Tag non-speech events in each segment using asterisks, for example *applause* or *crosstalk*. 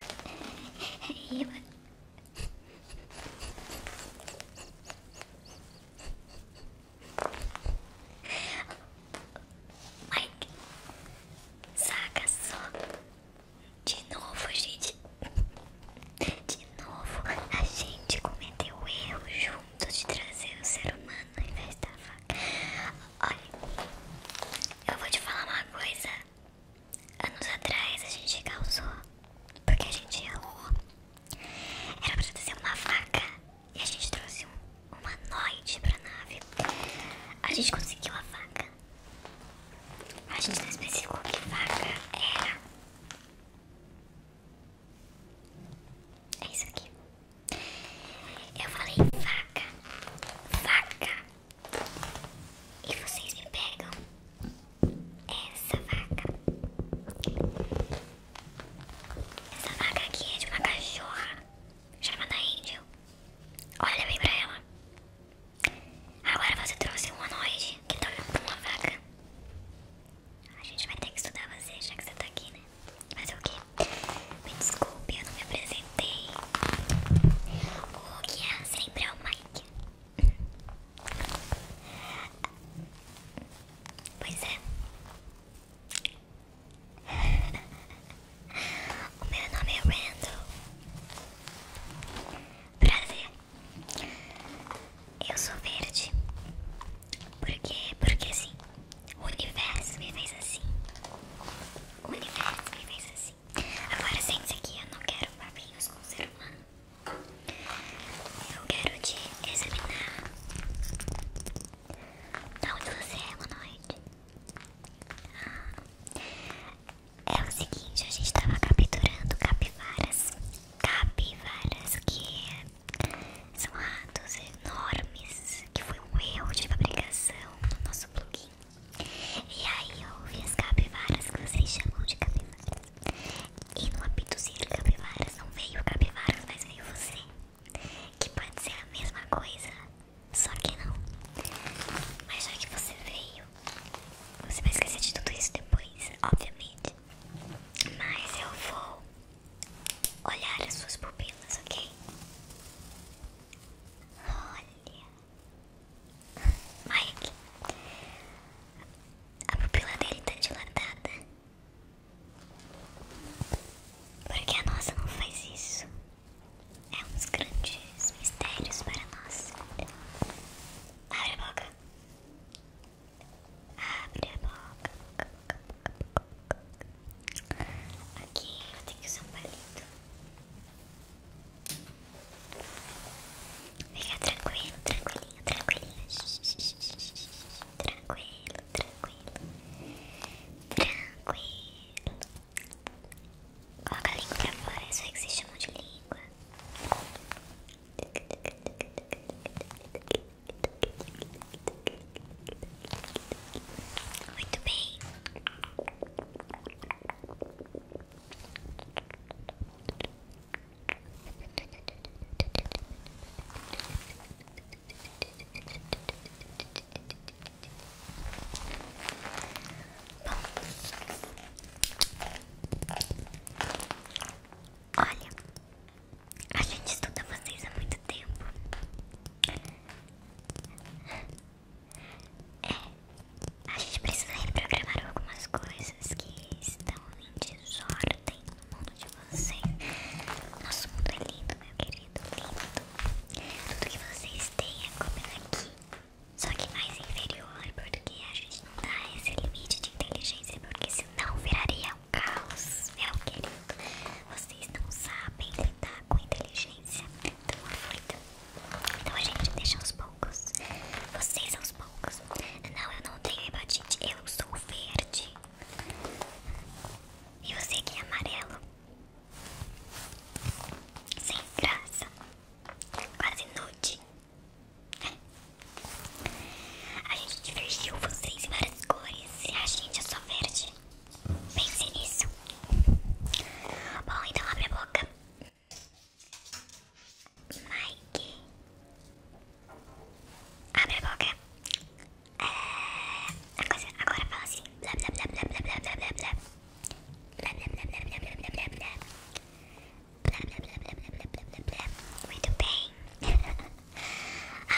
Mike, saca só de novo, gente. De novo, a gente cometeu o erro junto de trazer o ser humano ao invés da faca. Olha, eu vou te falar uma coisa. Anos atrás a gente causou porque a gente errou. Era pra trazer uma vaca e a gente trouxe uma noite pra nave. A gente conseguiu a vaca. A gente não especificou que vaca era. É isso aqui. Eu falei vaca, vaca. E vocês me pegam essa vaca. Essa vaca aqui é de uma cachorra chamada Angel. Olha bem pra ela. Agora você trouxe um anoide que dorme com uma vaca. A gente vai ter que estudar você, já que você tá aqui, né? fazer o quê Me desculpe, eu não me apresento acertei. O que é sempre é o Mike. Pois é. O meu nome é Randall. Prazer. Eu sou verde. Por quê? porque assim, o universo me fez assim. O universo me fez assim. Agora sente-se aqui, eu não quero papinhos com o ser humano. Eu quero te examinar. Então, onde você é, boa noite. Ah, é o seguinte, a gente tava capturando capivaras. Capivaras que são ratos enormes, que foi um erro de fabricação no nosso plugin. E aí eu ouvi as capivaras que vocês chamam de capivaras. E no apitozinho de capivaras não veio capivaras, mas veio você. Que pode ser a mesma coisa, só que não. Mas já que você veio, você vai esquecer de tudo isso depois, obviamente. Mas eu vou olhar as suas pupilas, ok? Olha, Mike, a pupila dele tá dilatada. Porque a nossa não faz isso. É uns grandes mistérios para nós. Abre a boca. Abre a boca. Aqui eu tenho que usar um palito. Fica tranquilo, tranquilo Tranquilo, tranquilo. Tranquilo. Coloca a língua pra fora, é isso é que vocês chamam de língua. Muito bem. Olha, a gente estuda vocês há muito tempo. É, a gente precisa reprogramar algumas coisas que estão em desordem no mundo de vocês. Nosso mundo é lindo, meu querido, lindo. Tudo que vocês têm é como é aqui, só que mais inferior, porque a gente não dá esse limite de inteligência, porque senão viraria um caos, meu querido. Vocês não sabem lidar com inteligência. Então aproveita. Então a gente deixa aos poucos. Vocês aos poucos. Não, eu não tenho hepatite. Eu sou verde. E você aqui é amarelo. Sem graça. Quase nude. A gente divergiu vocês em várias cores e a gente é só verde. Pense nisso. Bom, então abre a boca. Mike. Abre a boca. É, agora fala assim. Blá blá blá blá blá blá blá blá blá. Blá blá blá blá blá blá blá blá. Blá blá blá blá blá blá blá blá blá. Muito bem.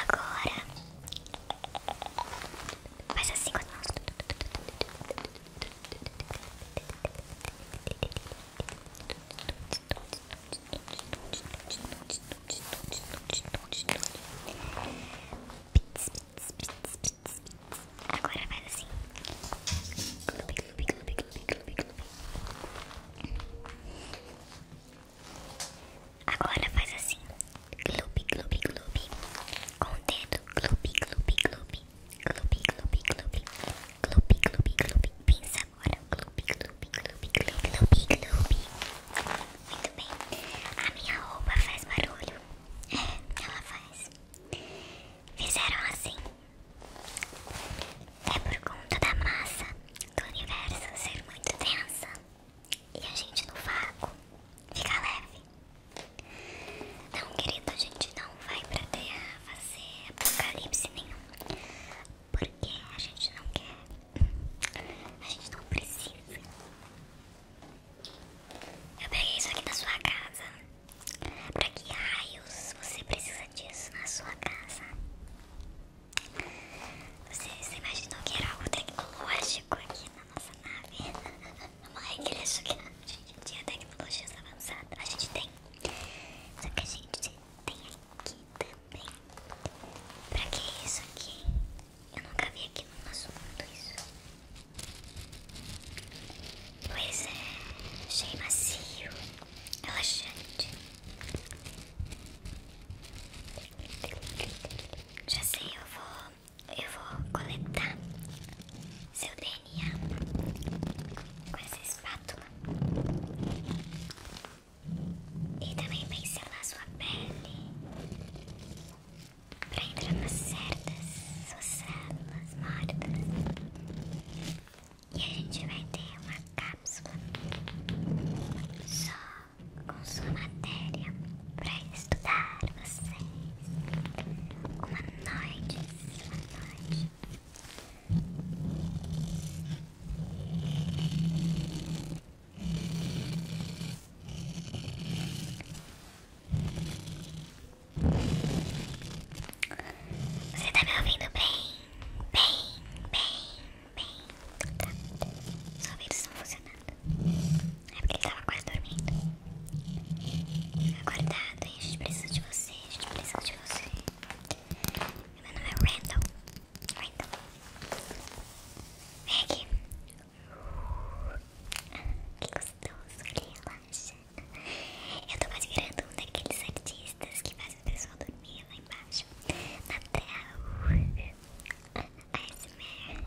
agora. Faz assim com as mãos. Agora faz assim. Clube, clube, clube, clube, clube. Agora faz assim. Clube, clube, clube. Com dedo. Clube, clube, clube. Clube, clube, clube. Clube, clube, clube. Pensa agora. Clube, clube, clube, clube, clube, clube. Muito bem. A minha roupa faz barulho. É, *laughs* ela faz. Fizeram assim. É por conta da massa do universo ser muito densa. E a gente no vácuo fica leve não querido, a gente não vai pra terra fazer apocalipse nenhum. Porque a gente não quer. A gente não precisa. Eu peguei isso aqui na sua casa. Pra que raios você precisa disso na sua casa? Você, você imaginou que era algo tecnológico aqui na nossa nave? *laughs* uma igreja que a gente tinha tecnologias avançadas. A gente tem. Só que a gente tem aqui também. Pra que isso aqui? Eu nunca vi aqui no nosso mundo isso. Pois é, achei macio, relaxante. Já sei, eu vou eu vou coletar seu DNA com essa espátula e também pincelar sua pele para entrar nas cerdas, suas células mortas e a gente vai ter uma cápsula só com sua matéria para estudar vocês uma noite, uma noite. Você está me ouvindo bem? Bem, bem, bem. Tá. os ouvidos estão funcionando. É porque ele tava quase dormindo. Acordado, hein? A gente precisa de você, a gente precisa de você. Meu nome é Randall. Randall. Vem aqui. Que gostoso, relaxa. Eu tô quase virando um daqueles artistas que fazem o pessoal dormir lá embaixo. Na tela. ASMR.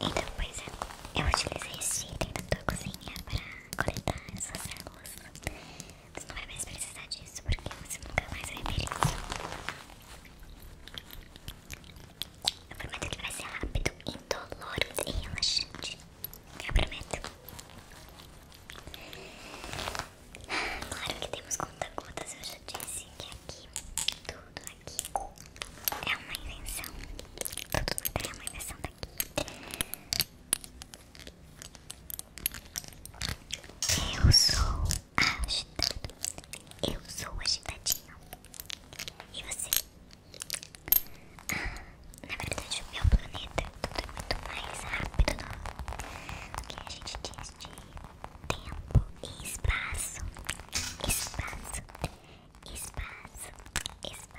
Então, pois é, eu utilizei esse item na tua cozinha para coletar essas águas. Você não vai mais precisar disso porque você nunca mais vai ver isso. Eu prometo que vai ser rápido, indolor e relaxante. Eu prometo. Claro que temos conta-gotas, eu já disse que aqui, tudo aqui é uma invenção. Tudo é uma invenção daqui. Eu sou agitado. Eu sou agitadinho. E você? Ah, na verdade, o meu planeta é tudo é muito mais rápido do que a gente diz tempo e espaço, espaço, espaço, espaço.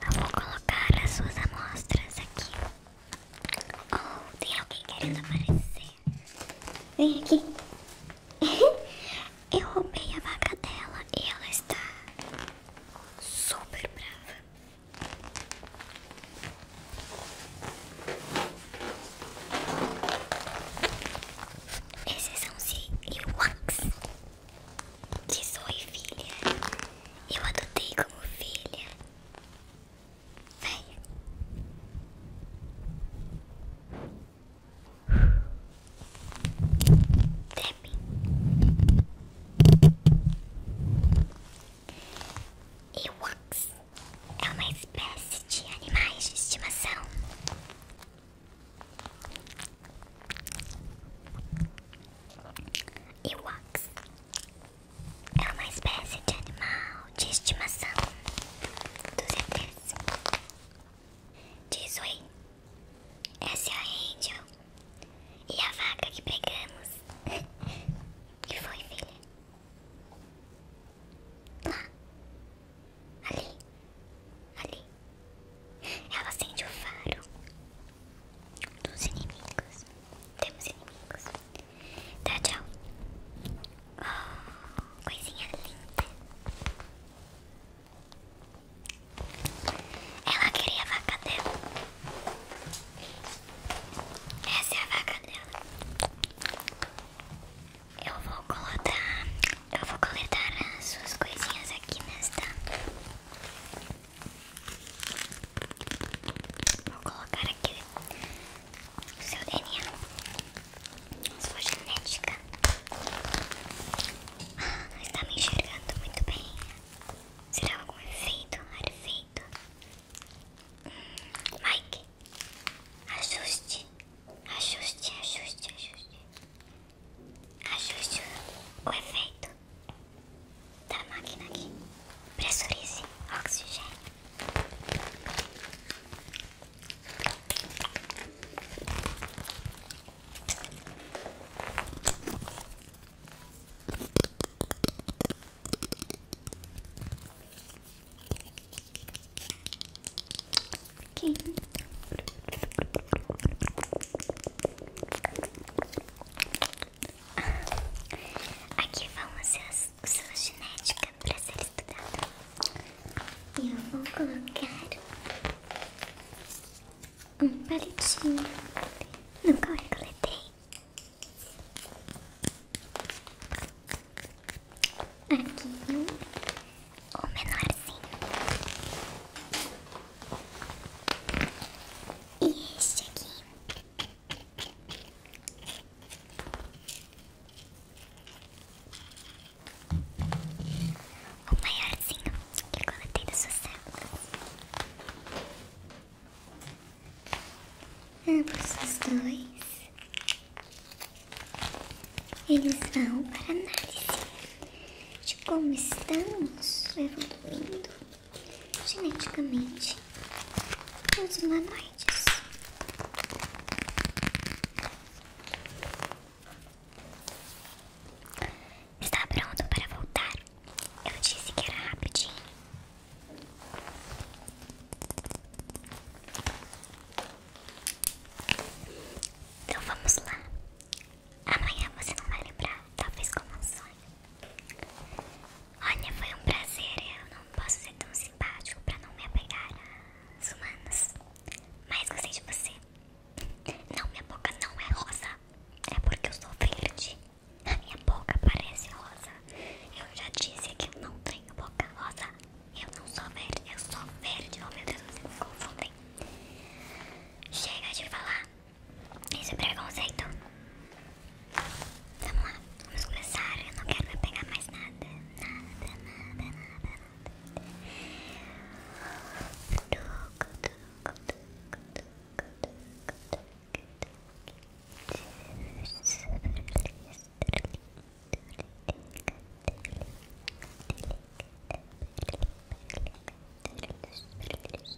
Eu vou colocar as suas amostras aqui. Oh, tem alguém querendo aparecer. Vem aqui. *laughs* Eu roubei a vaca dela e ela está super brava. Esses são os e-wax que sou Filha. Eu adotei como filha Venha. Treme. Ewoks é uma espécie de animais de estimação. Ewoks é uma espécie de animal de estimação dos ETs. Diz oi. Essa é a Angel. E a vaca que pegamos. *laughs* que foi, filha? Lá. Ali. Ali. Ela acende o faro dos inimigos. Temos inimigos. Tá, tchau. Oh, coisinha linda. Ela queria a vaca dela. Essa é a vaca dela. Eu vou coletar Eu vou coletar as suas coisinhas aqui nesta Vou colocar aqui o seu DNA, sua genética. Ah, está me enxergando muito bem. Será algum efeito? Arefeito? Hum, Mike, ajuste, ajuste, ajuste, ajuste. Ajuste o efeito da tá, máquina aqui. Pressurize oxigênio. Aqui. Aqui vão as suas os seus para ser estudada. E eu vou colocar um palitinho no qual eu coletei. Aqui o menorzinho. E este aqui o maiorzinho que coletei das suas células. Ambos é, os dois. Eles vão para análise de como estamos evoluindo geneticamente os humanoides. Está pronto para voltar? Eu disse que era rapidinho. Então vamos lá. Amanhã você não vai lembrar, talvez como um sonho. Olha, foi um prazer. Eu não posso ser tão simpático para não me apegar às humanas. Mas gostei de você. Não, minha boca não é rosa. É porque eu sou verde. A minha boca parece rosa. Eu já disse que eu não tenho boca rosa. Eu não sou verde. Eu sou verde. Oh meu Deus, vocês me confundem. Chega de falar. Isso é preconceito. Vamos lá, vamos começar. Eu não quero pegar mais nada. Nada, nada, nada, nada. Tuc, tuc, tuc, tuc, tuc, tuc, tuc.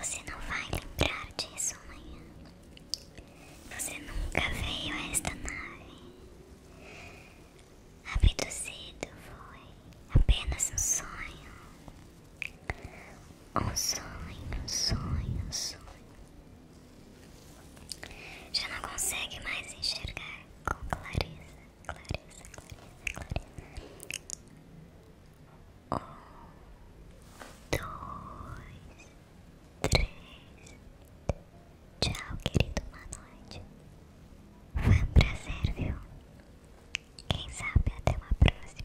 Você não vai lembrar disso amanhã. Você nunca veio a esta nave. Abduzido foi apenas um sonho. Um sonho, um sonho, um sonho. Já não consegue mais enxergar com clareza. Clarissa, Clarissa, Clarissa. Um, dois, três. Tchau, querido. Boa noite. Foi um prazer, viu? Quem sabe até uma próxima.